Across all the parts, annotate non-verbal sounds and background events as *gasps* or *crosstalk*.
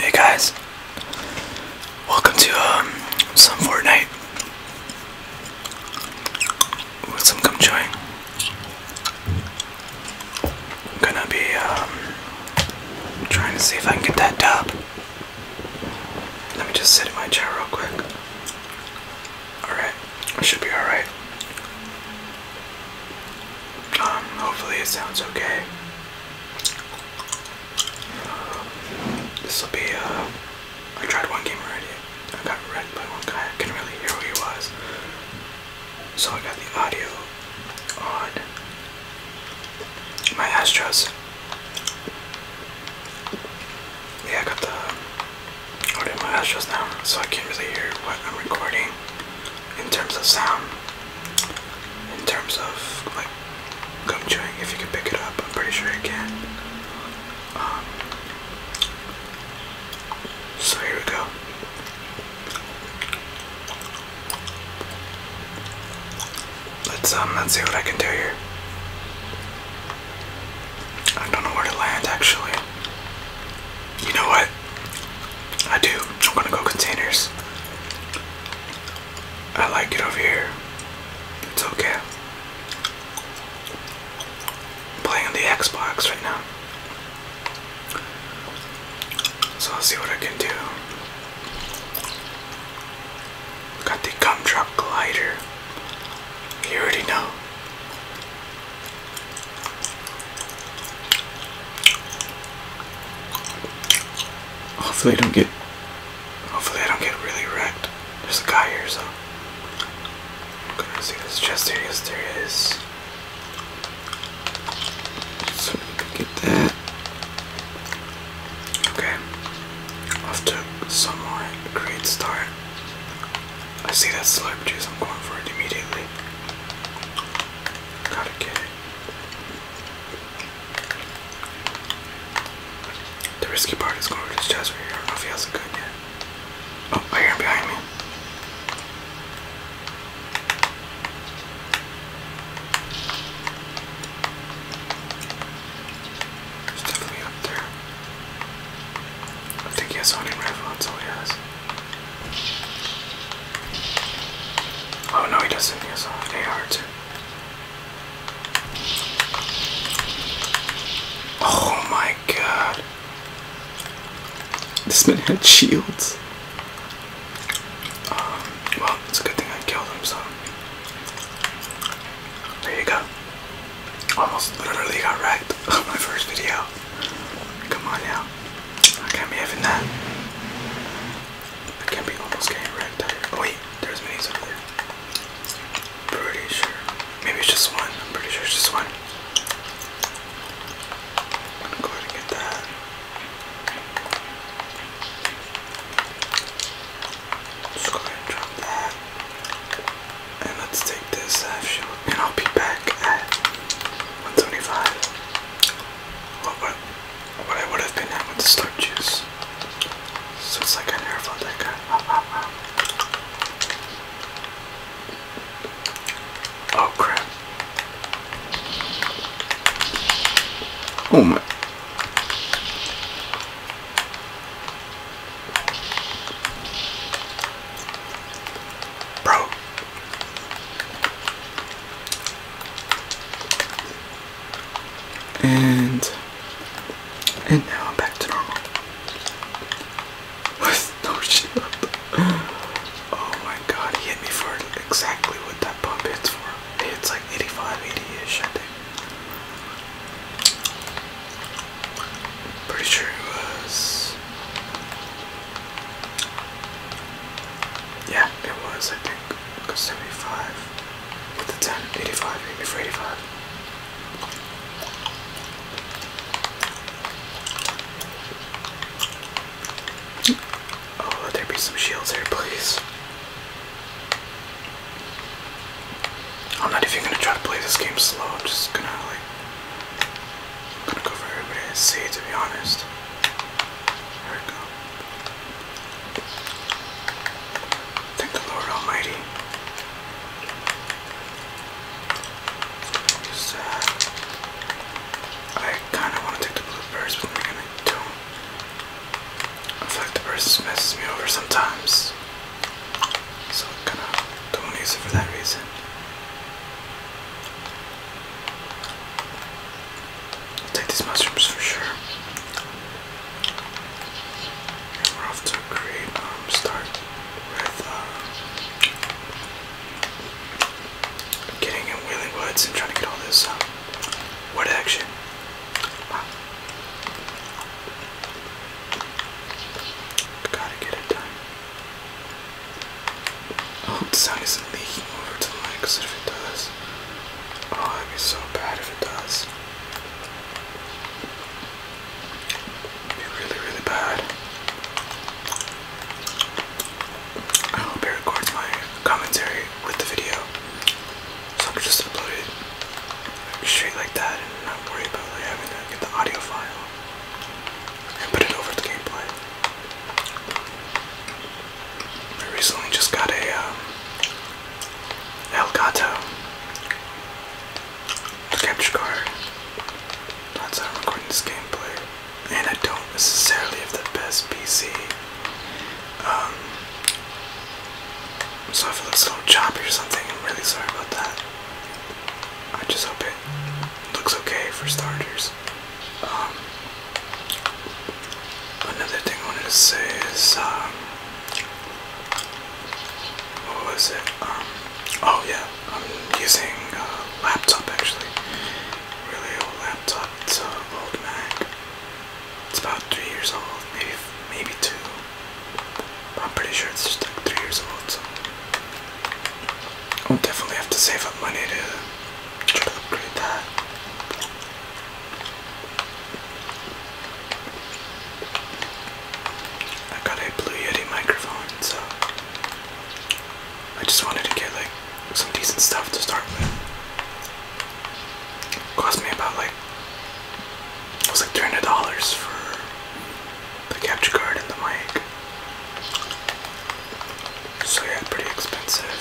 Hey guys, welcome to um, some Fortnite with some gum chewing. i gonna be um, trying to see if I can get that dub. Let me just sit in my chair real quick. Alright, should be alright. Um, hopefully it sounds okay. This will be, uh, I tried one game already. I got read by one guy. I can not really hear who he was. So I got the audio on my Astros. Yeah, I got the holding my eyes just now, so I can't really hear what I'm recording in terms of sound, in terms of like gum chewing. If you can pick it up, I'm pretty sure you can. Um, so here we go. Let's um let's see what I can do here. I don't know where to land actually. You know what? I do. I'm gonna go containers. I like it over here. It's okay. I'm playing on the Xbox right now. So I'll see what I can do. Got the gumdrop glider. You already know. Hopefully I don't get hopefully I don't get really wrecked. There's a guy here so I'm gonna see this chest area yes there is. So we can get that. Okay. Off to somewhat great start. I see that slow juice, I'm going for it immediately. got it. The risky part is going for this I don't know if he hasn't good yet. Oh, I hear him behind me. He's definitely up there. I think he has hunting rifle, that's all he has. Oh no, he doesn't. He has an AR too. Oh my god. This man had shields. Um, well, it's a good thing I killed him, so. There you go almost literally got wrecked *laughs* on my first video. Come on now. can't be having that. I can't be almost getting wrecked. Oh wait, there's minis over there. Pretty sure. Maybe it's just one. I'm pretty sure it's just one. I'm go ahead and get that. Just go ahead and drop that. And let's take this half uh, shield, and I'll be back at 125. What, what, what I would have been at with the slurp juice. So it's like I never fought that guy. Uh, uh, oh crap. Oh my. Bro. And and now I'm back to normal. *laughs* no Oh my god, he hit me for exactly what that pump hits for. It's like 85, 80-ish, I think. Pretty sure it was. Yeah, it was, I think. Because 75 with the 10, 85, 80 for 85. Oh, there be some shields here, please. I'm not even gonna try to play this game slow. I'm just gonna like, I'm gonna go for everybody I see. To be honest, there we go. Thank the Lord Almighty. Uh, I kind of want to take the blue birds, but then again I do I feel like the birds messes me over sometimes. So I kind of don't want to use it for that reason. take these mushrooms for sure. we're off to a um, start with uh, getting in Wheeling Woods and trying to get all this uh, wood action. Gotta get it done. I hope the sound isn't leaking over to the mic, if it does, oh, that'd be so bad if it does. be really, really bad. I hope it records my commentary with the video, so I can just upload straight like that and not worry about like having to get the audio file and put it over the gameplay. I recently just got a um, Elgato capture card. That's how I'm recording this gameplay. And I don't necessarily have the best PC. Um, so if it looks a little choppy or something, I'm really sorry about that. I just hope it looks okay for starters. Um, another thing I wanted to say is, um, what was it? Um, oh yeah, I'm using a laptop actually, really old laptop. It's an old Mac. It's about three years old, maybe maybe two. I'm pretty sure it's just like three years old, so I'll definitely have to save up money to upgrade that. I got a Blue Yeti microphone, so I just wanted to get like some decent stuff to start with. cost me about like it was like $300 for the capture card and the mic. So yeah, pretty expensive.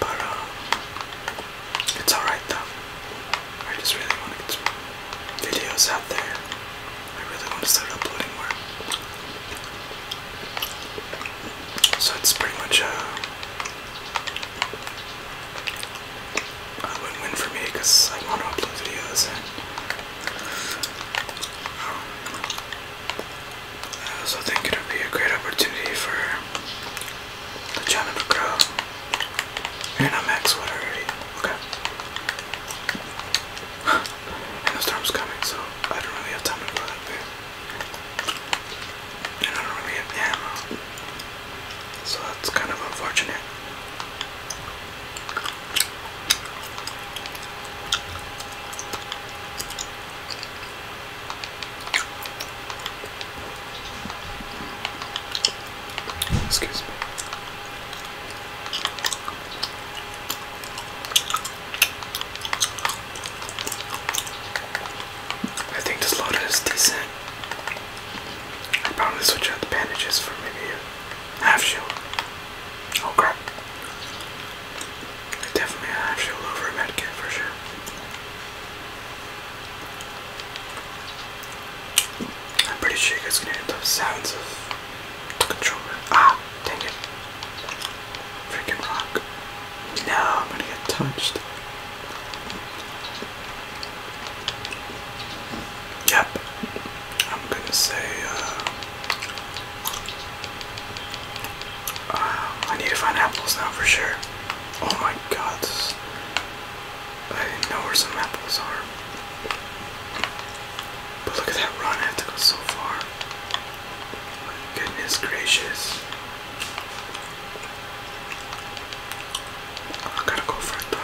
But uh, it's alright though. I just really want to get some videos out there. I really want to start uploading more. So it's pretty much uh, a win-win for me because I want to upload videos and um, I also think it would be a great opportunity for the channel to grow. And I'm max what already. Okay. *laughs* and the storm's coming, so I don't really have time to go And I don't really have ammo. So that's kind of unfortunate. Excuse me. I think this loader is decent. I'll probably switch out the bandages for maybe a half shield. Oh crap. Definitely a half shield over a medkit for sure. I'm pretty sure you guys can hear the sounds of the controller. Ah, dang it. Freaking rock. No, I'm gonna get touched. Yep, I'm gonna say uh, uh, I need to find apples now for sure. Oh my god, I didn't know where some apples are. But look at that run, I have to go so far. goodness gracious. Oh, I gotta go for it though.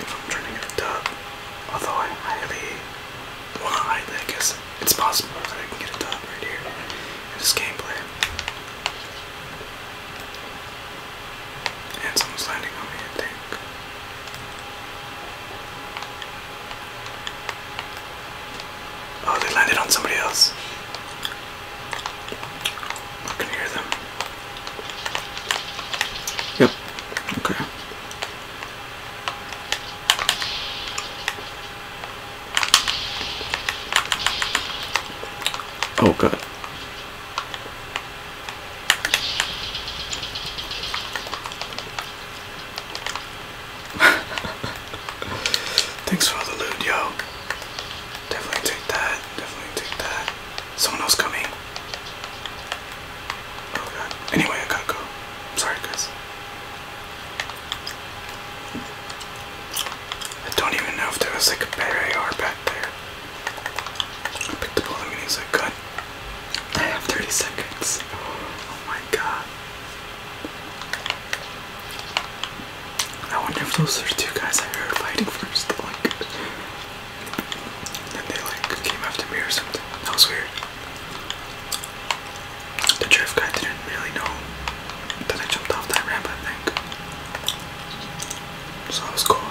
If I'm trying to get a dub, although I highly, well, I, I guess it's possible that I can get a dub right here in this gameplay. And someone's landing on me, I Oh, they landed on somebody else. I can hear them. Yep. Okay. Oh god. *laughs* Thanks for the loot, yo. Definitely take that. Definitely take that. Someone else coming. Oh god. Anyway, I gotta go. I'm sorry, guys. I don't even know if there was like a better AR back there. I picked the all and he's like, "Good." I have 30 seconds. Oh my god. I wonder if those are two guys I heard fighting first, like, and they like came after me or something. That was weird. The drift guy didn't really know that I jumped off that ramp, I think. So that was cool.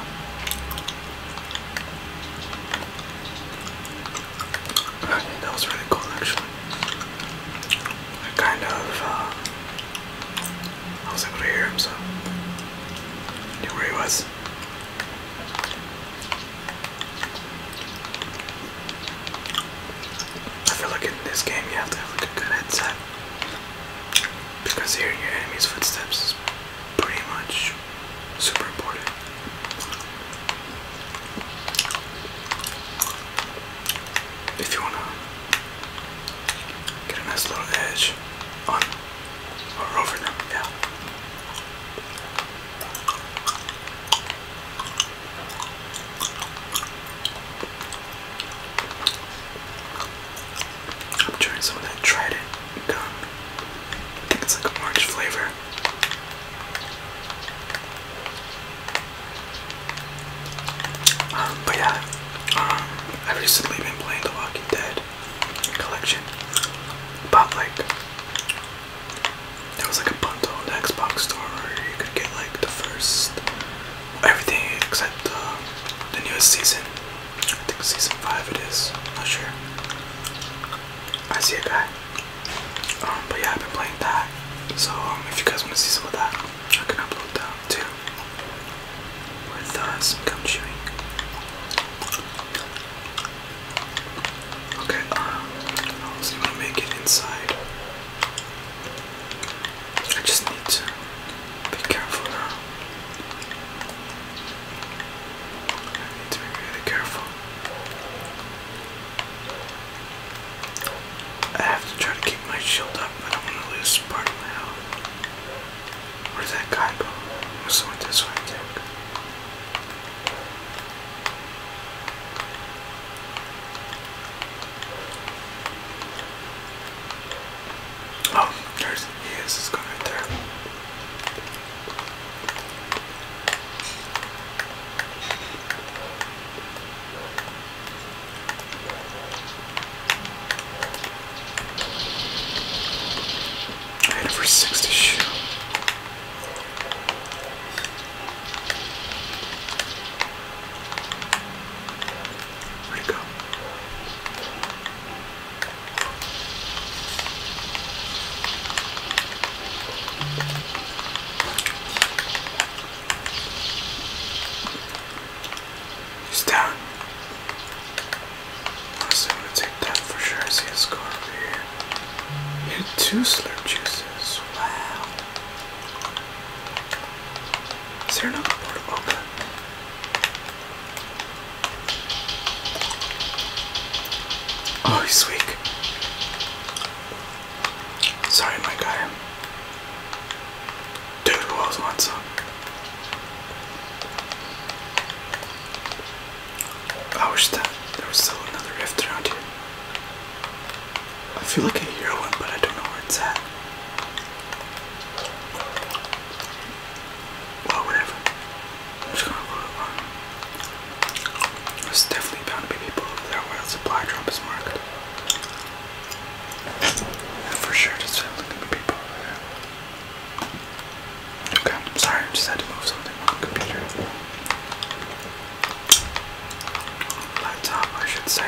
that was really cool actually kind of, uh, I was able to hear him, so I knew where he was. I feel like in this game you have to have like a good headset because hearing your enemy's footsteps is pretty much super important if you wanna get a nice little edge on or over them, yeah. I'm trying some of that Trident gum. I think it's like an orange flavor. Um, but yeah, um, I've recently been playing The Walking Dead collection. But like, there was like a bundle on the Xbox store you could get like the first, everything except uh, the newest season. I think season 5 it not sure. I see a guy. Um, but yeah, I've been playing that. So um, if you guys want to see some of that, I can upload that too. With us, uh, some gum chewing. Okay, I'll see if I make it inside. I just need to be careful now. I need to be really careful. I have to try to keep my shield up. I don't want to lose part of my health. Where's that guy go? Must have this way, Oh, there's he is. He's going there. I had it for six to shoot. Where'd it go? He's I'm gonna take that for sure. I see a score over here. He two slurp juices. Wow. Is there another board? Okay. Oh, he's weak. Sorry, my guy. Dude, who else wants some? I wish that still another rift around here. I feel like I hear one, but I don't know where it's at. Well, whatever. just gonna go on. There's definitely bound to be people over there while supply drop is marked. for sure there's definitely gonna be people Okay, I'm sorry, I just had to move something computer. Laptop, I should say.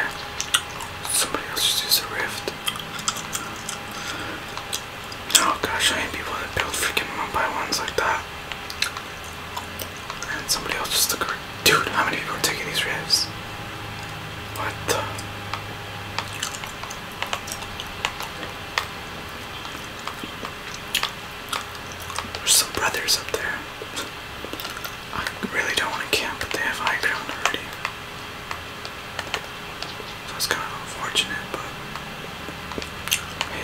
Somebody else just used a rift. Oh gosh, I hate people that build freaking one ones like that. And somebody else just took her. Dude, how many people are taking these rifts? What There's some brothers up there. I really don't want to camp, but they have high ground already. So it's kind of unfortunate, but.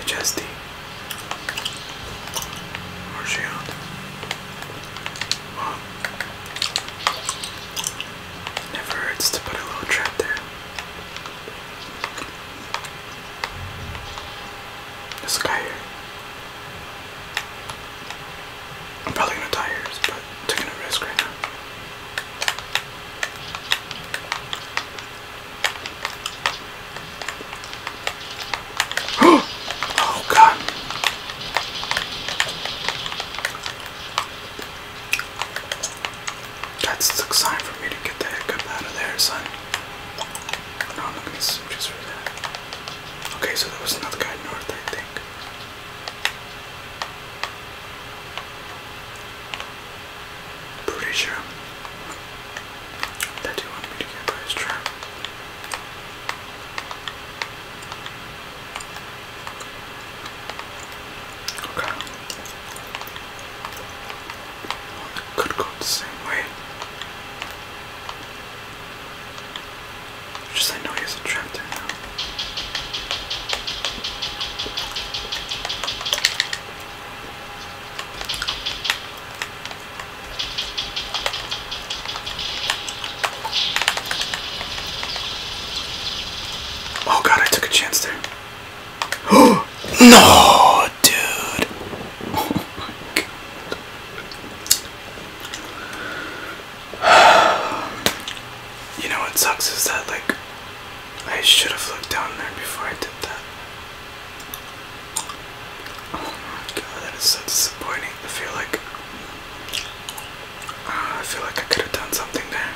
HSD. Where's she on? never hurts to put a little trap there. This guy here. I'm probably gonna die here, but taking a risk right now oh god. That's the sign for me to get the heck up out of there, son. Okay, so there was another guy north, I think. Pretty sure that he wanted me to get by his Okay. could go the same way. Just I know he's a trap there now. Oh god, I took a chance there. Oh *gasps* no, dude. *sighs* You know what sucks is that like I should have looked down there before I did that. Oh my god, that is so disappointing. I feel like uh, I feel like I could have done something there.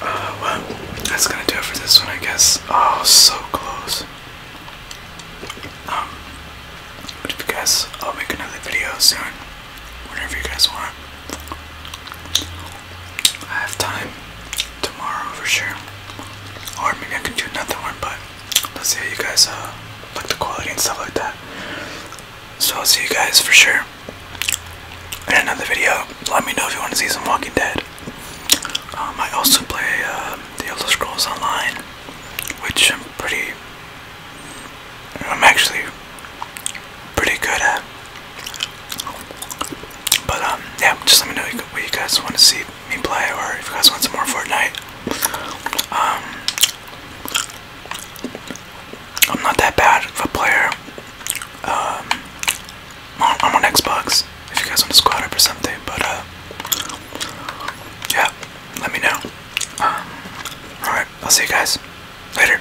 Uh, well, that's gonna do it for this one, I guess. Oh, so close. Um, but if you guys, I'll make another video soon, whenever you guys want. I have time tomorrow for sure. Or maybe I can do another one, but let's see how you guys uh, like the quality and stuff like that. So I'll see you guys for sure in another video. Let me know if you want to see some Walking Dead. Um, I also play uh, The Elder Scrolls Online, which I'm pretty, I'm actually pretty good at. But um, yeah, just let me know what you guys want to see me play, or if you guys want some more Fortnite. Um, I'm not that bad of a player. Um, I'm on Xbox. If you guys want to squad up or something, but uh, yeah, let me know. Um, all right, I'll see you guys later.